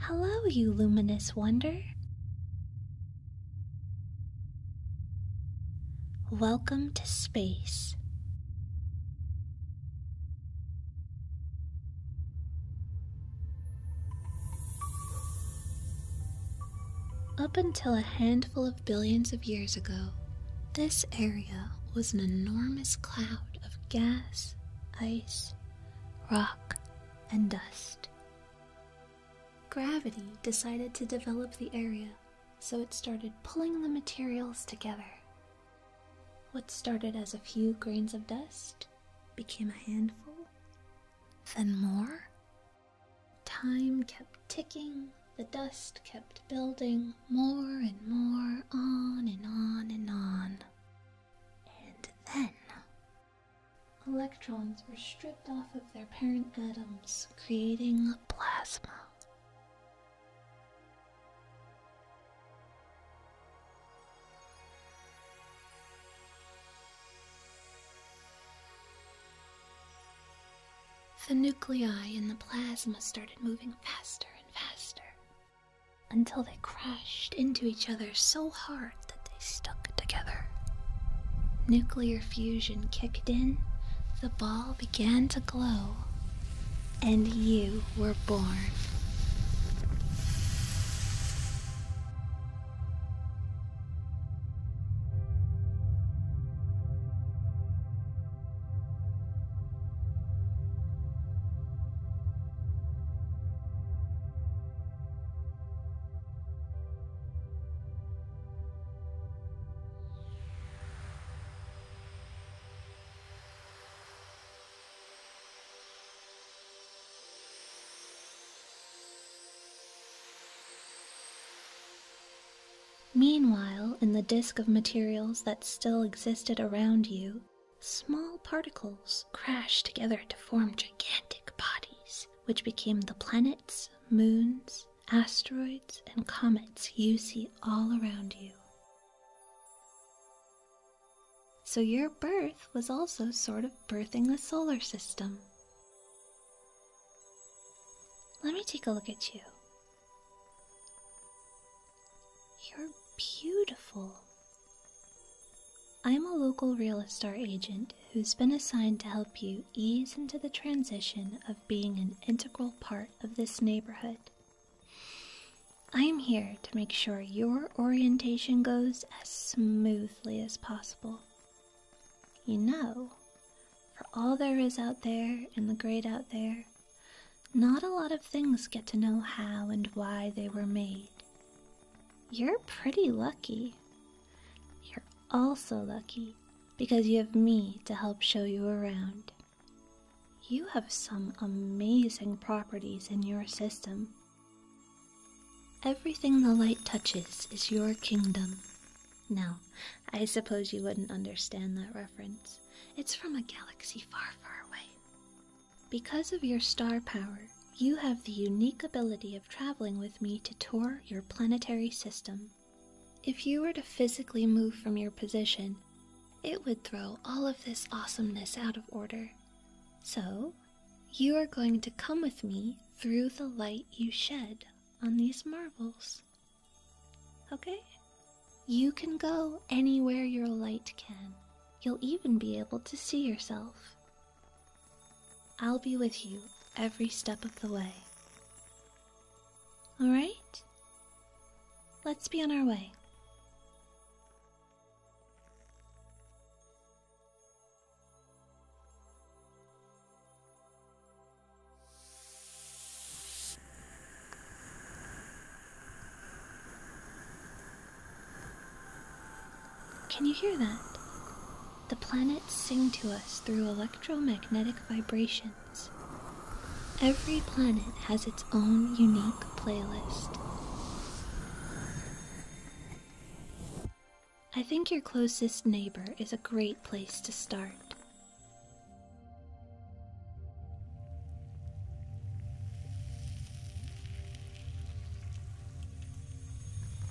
Hello, you luminous wonder. Welcome to space. Up until a handful of billions of years ago, this area was an enormous cloud of gas, ice, rock, and dust. Gravity decided to develop the area, so it started pulling the materials together. What started as a few grains of dust became a handful, then more. Time kept ticking, the dust kept building more and more, on and on and on. And then Electrons were stripped off of their parent atoms, creating plasma. The nuclei in the plasma started moving faster and faster, until they crashed into each other so hard that they stuck together. Nuclear fusion kicked in, the ball began to glow, and you were born. Meanwhile, in the disk of materials that still existed around you, Small particles crashed together to form gigantic bodies, which became the planets, moons, asteroids, and comets you see all around you. So, your birth was also sort of birthing the solar system. Let me take a look at you. You're beautiful. I am a local real estate agent who's been assigned to help you ease into the transition of being an integral part of this neighborhood. I am here to make sure your orientation goes as smoothly as possible. You know, for all there is out there and the great out there, not a lot of things get to know how and why they were made, you're pretty lucky. You're also lucky because you have me to help show you around. You have some amazing properties in your system. Everything the light touches is your kingdom. Now, I suppose you wouldn't understand that reference. It's from a galaxy far, far away. Because of your star power, you have the unique ability of traveling with me to tour your planetary system. If you were to physically move from your position, it would throw all of this awesomeness out of order. So, you are going to come with me through the light you shed on these marvels. Okay? You can go anywhere your light can. You'll even be able to see yourself. I'll be with you every step of the way. All right? Let's be on our way. Can you hear that? The planets sing to us through electromagnetic vibrations. Every planet has its own unique playlist. I think your closest neighbor is a great place to start.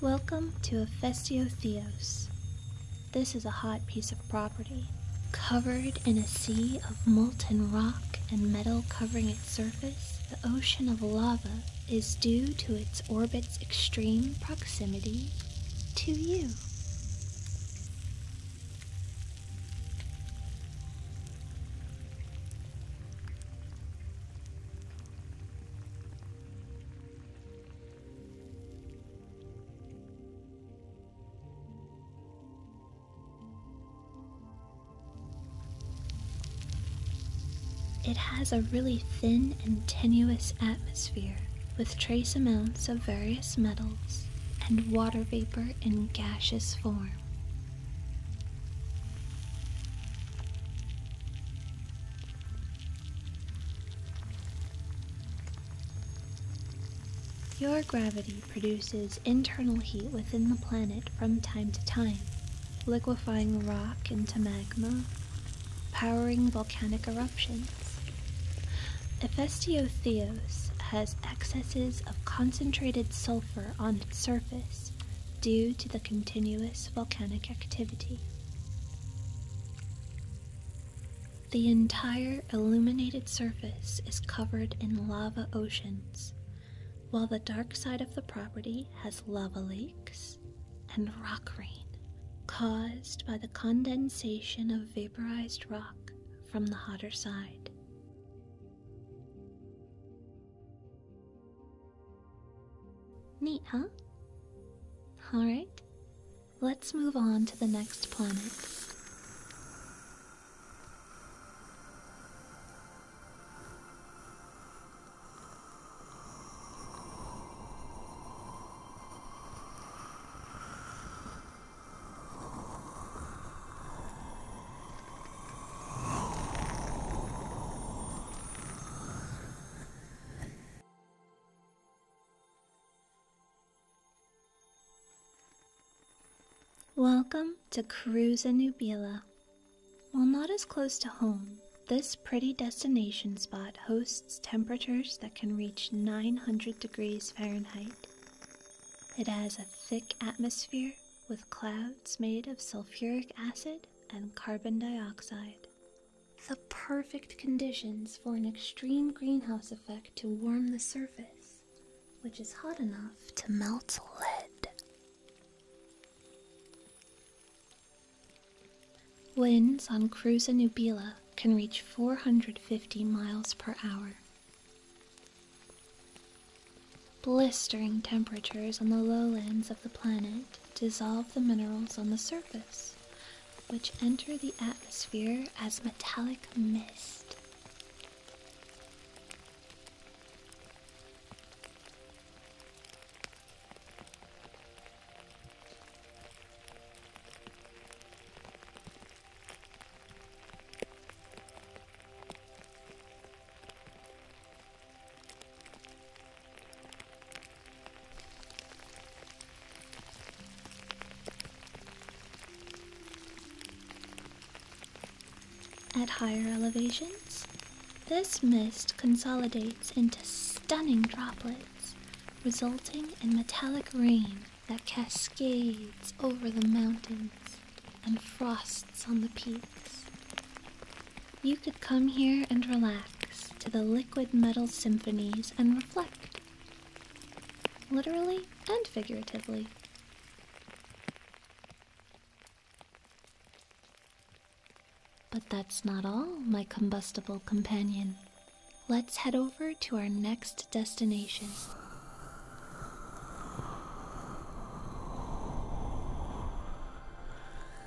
Welcome to Efestio Theos. This is a hot piece of property, covered in a sea of molten rock and metal covering its surface. The ocean of lava is due to its orbit's extreme proximity to you. It has a really thin and tenuous atmosphere with trace amounts of various metals and water vapor in gaseous form. Your gravity produces internal heat within the planet from time to time, liquefying rock into magma, powering volcanic eruptions. Hephaestio has excesses of concentrated sulfur on its surface, due to the continuous volcanic activity. The entire illuminated surface is covered in lava oceans, while the dark side of the property has lava lakes and rock rain caused by the condensation of vaporized rock from the hotter side. Neat, huh? Alright, let's move on to the next planet. Welcome to Cruza Nubila. While not as close to home, this pretty destination spot hosts temperatures that can reach 900 degrees Fahrenheit. It has a thick atmosphere with clouds made of sulfuric acid and carbon dioxide. The perfect conditions for an extreme greenhouse effect to warm the surface, which is hot enough to melt lead. Winds on Cruza Nubila can reach 450 miles per hour. Blistering temperatures on the lowlands of the planet dissolve the minerals on the surface, which enter the atmosphere as metallic mist. At higher elevations, this mist consolidates into stunning droplets, resulting in metallic rain that cascades over the mountains and frost on the peaks. You could come here and relax to the liquid metal symphonies and reflect, literally and figuratively. But that's not all, my combustible companion. Let's head over to our next destination.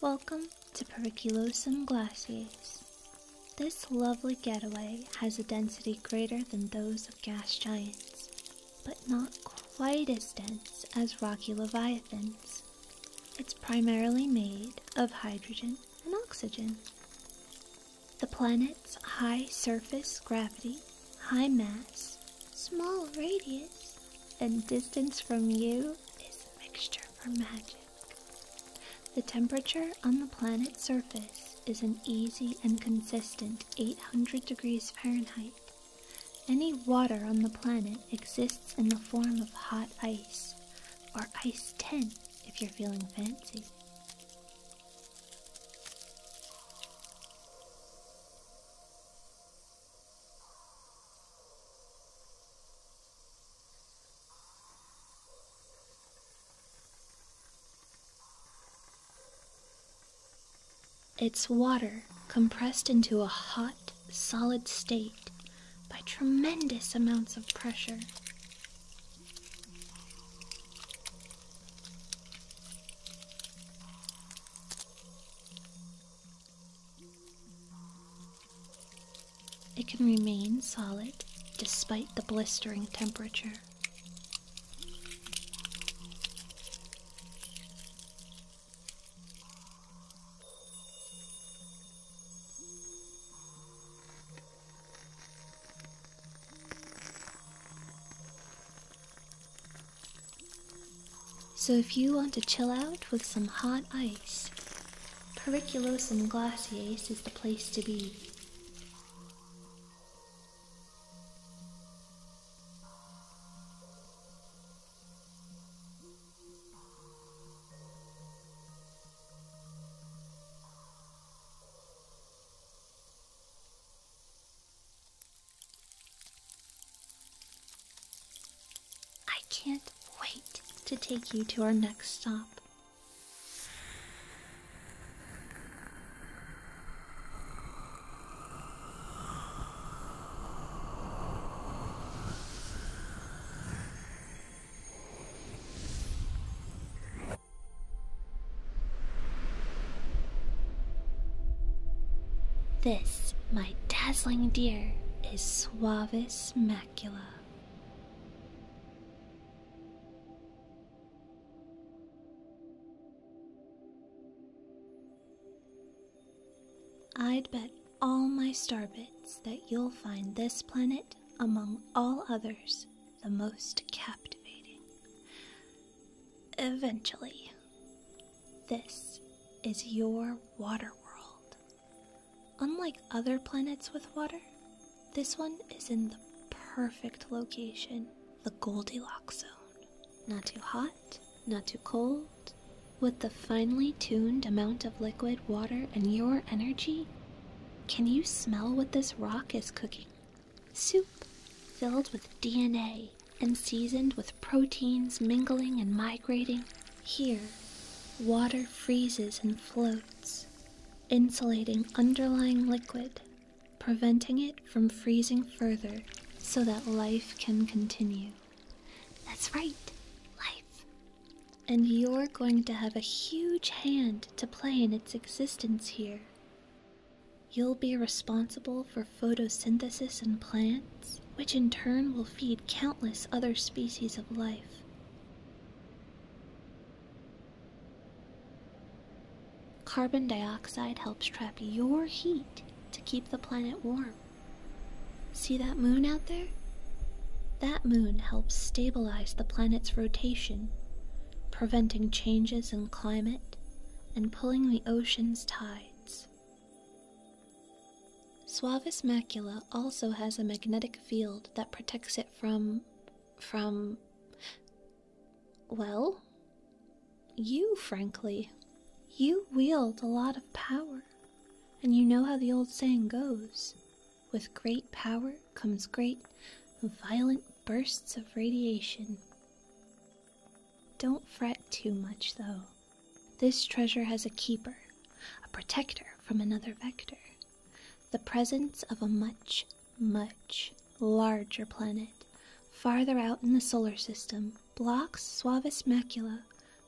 Welcome to Periculosum glacialis. This lovely getaway has a density greater than those of gas giants but not quite as dense as rocky leviathans. It's primarily made of hydrogen and oxygen. The planet's high surface gravity, high mass, small radius, and distance from you is a mixture for magic. The temperature on the planet's surface is an easy and consistent Eight hundred degrees Fahrenheit. Any water on the planet exists in the form of hot ice, or ice 10 if you're feeling fancy. It's water compressed into a hot, solid state by tremendous amounts of pressure. It can remain solid despite the blistering temperature. So, if you want to chill out with some hot ice, Periculosum glaciace is the place to be. I can't wait to take you to our next stop. This, my dazzling dear, is Suavis Macula. I'd bet all my starbits that you'll find this planet, among all others, the most captivating. Eventually, this is your water world. Unlike other planets with water, this one is in the perfect location the Goldilocks zone. Not too hot, not too cold. With the finely tuned amount of liquid water and your energy, can you smell what this rock is cooking? Soup filled with DNA and seasoned with proteins mingling and migrating. Here, water freezes and floats, insulating underlying liquid preventing it from freezing further so that life can continue. That's right, life. And you're going to have a huge hand to play in its existence here. You'll be responsible for photosynthesis in plants, which in turn will feed countless other species of life. Carbon dioxide helps trap your heat to keep the planet warm. See that moon out there? That moon helps stabilize the planet's rotation, preventing changes in climate and pulling the ocean's tides. Suavis macula also has a magnetic field that protects it from. from. Well, you, frankly. You wield a lot of power, and you know how the old saying goes with great power comes great, violent bursts of radiation. Don't fret too much, though. This treasure has a keeper, a protector from another vector. The presence of a much much larger planet, farther out in the solar system, blocks Suavis macula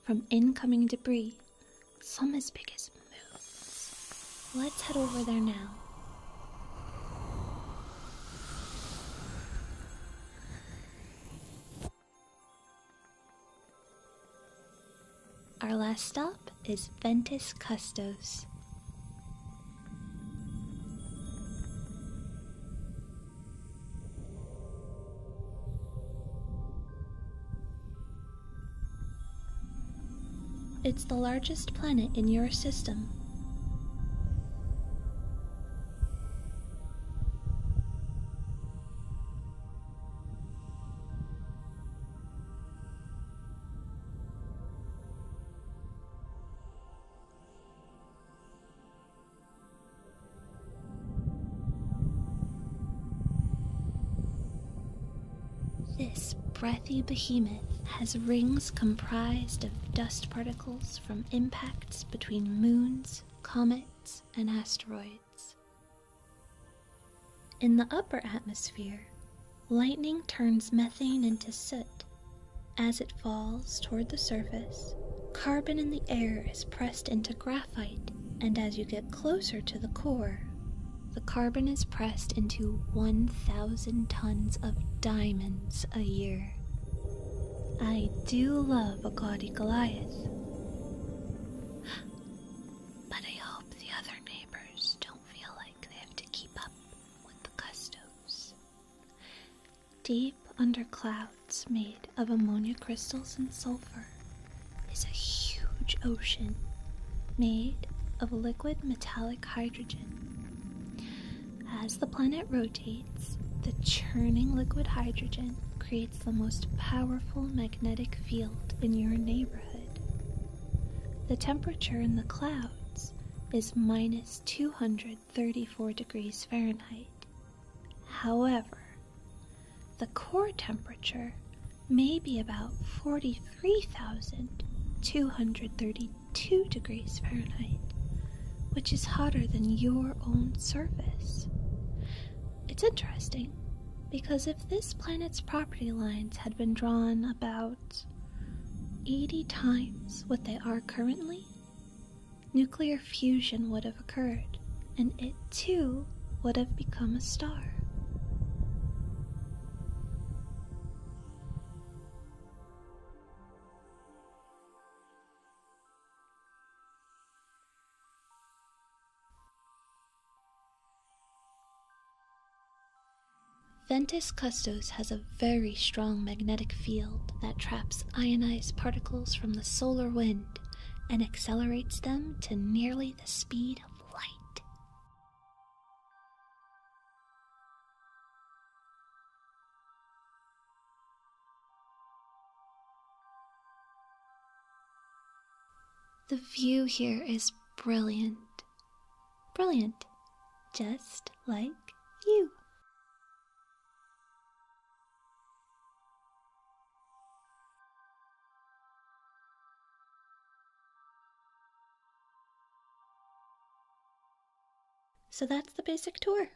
from incoming debris, some as big as moons. Let's head over there now. Our last stop is Ventus Custos. It's the largest planet in your system. This breathy behemoth has rings comprised of dust particles from impacts between moons, comets, and asteroids. In the upper atmosphere, lightning turns methane into soot as it falls toward the surface, carbon in the air is pressed into graphite, and as you get closer to the core, the carbon is pressed into 1,000 tons of diamonds a year. I do love a gaudy Goliath. But I hope the other neighbors don't feel like they have to keep up with the customs. Deep under clouds made of ammonia crystals and sulfur is a huge ocean made of liquid metallic hydrogen. As the planet rotates, the churning liquid hydrogen creates the most powerful magnetic field in your neighborhood. The temperature in the clouds is minus 200 Thirty-four degrees Fahrenheit. However, the core temperature may be about 43,232 degrees Fahrenheit, which is hotter than your own surface. It's interesting because if this planet's property lines had been drawn about 80 times what they are currently, nuclear fusion would have occurred, and it too would have become a star. Ventus Custos has a very strong magnetic field that traps ionized particles from the solar wind and accelerates them to nearly the speed of light. The view here is brilliant. Brilliant, just like you. So that's the basic tour.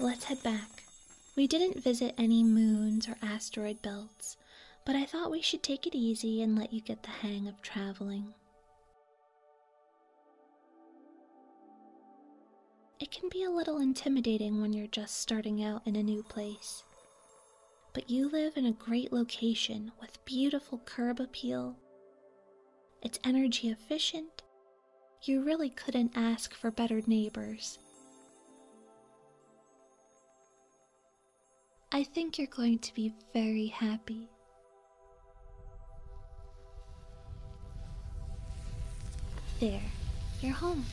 Let's head back. We didn't visit any moons or asteroid belts, but I thought we should take it easy and let you get the hang of traveling. It can be a little intimidating when you're just starting out in a new place. But you live in a great location with beautiful curb appeal. It's energy efficient. You really couldn't ask for better neighbors. I think you're going to be very happy there, you're home.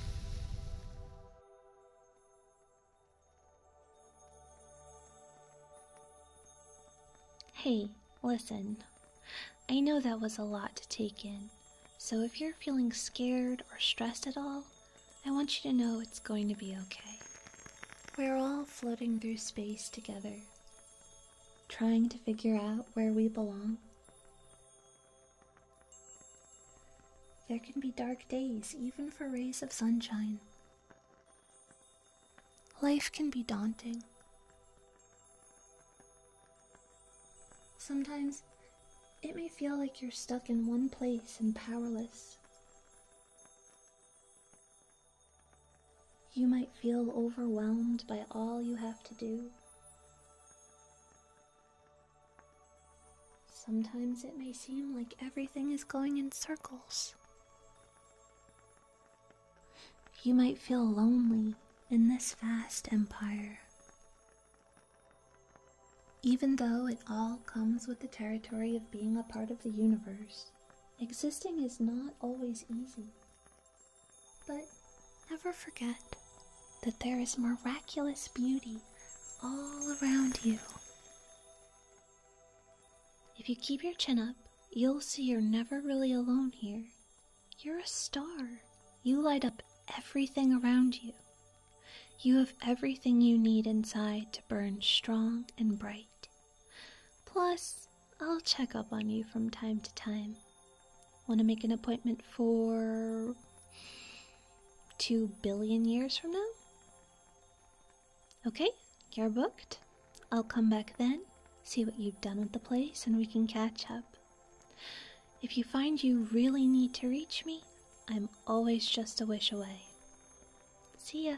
Hey, listen. I know that was a lot to take in, so if you're feeling scared or stressed at all, I want you to know it's going to be okay. We're all floating through space together trying to figure out where we belong. There can be dark days, even for rays of sunshine. Life can be daunting. Sometimes it may feel like you're stuck in one place and powerless. You might feel overwhelmed by all you have to do. Sometimes it may seem like everything is going in circles. You might feel lonely in this vast empire. Even though it all comes with the territory of being a part of the universe, existing is not always easy. But never forget that there is miraculous beauty all around you. If you keep your chin up, you'll see you're never really alone here. You're a star. You light up everything around you. You have everything you need inside to burn strong and bright. Plus, I'll check up on you from time to time. Want to make an appointment for. two billion years from now? Okay, you're booked. I'll come back then, see what you've done with the place, and we can catch up. If you find you really need to reach me, I'm always just a wish away. See ya.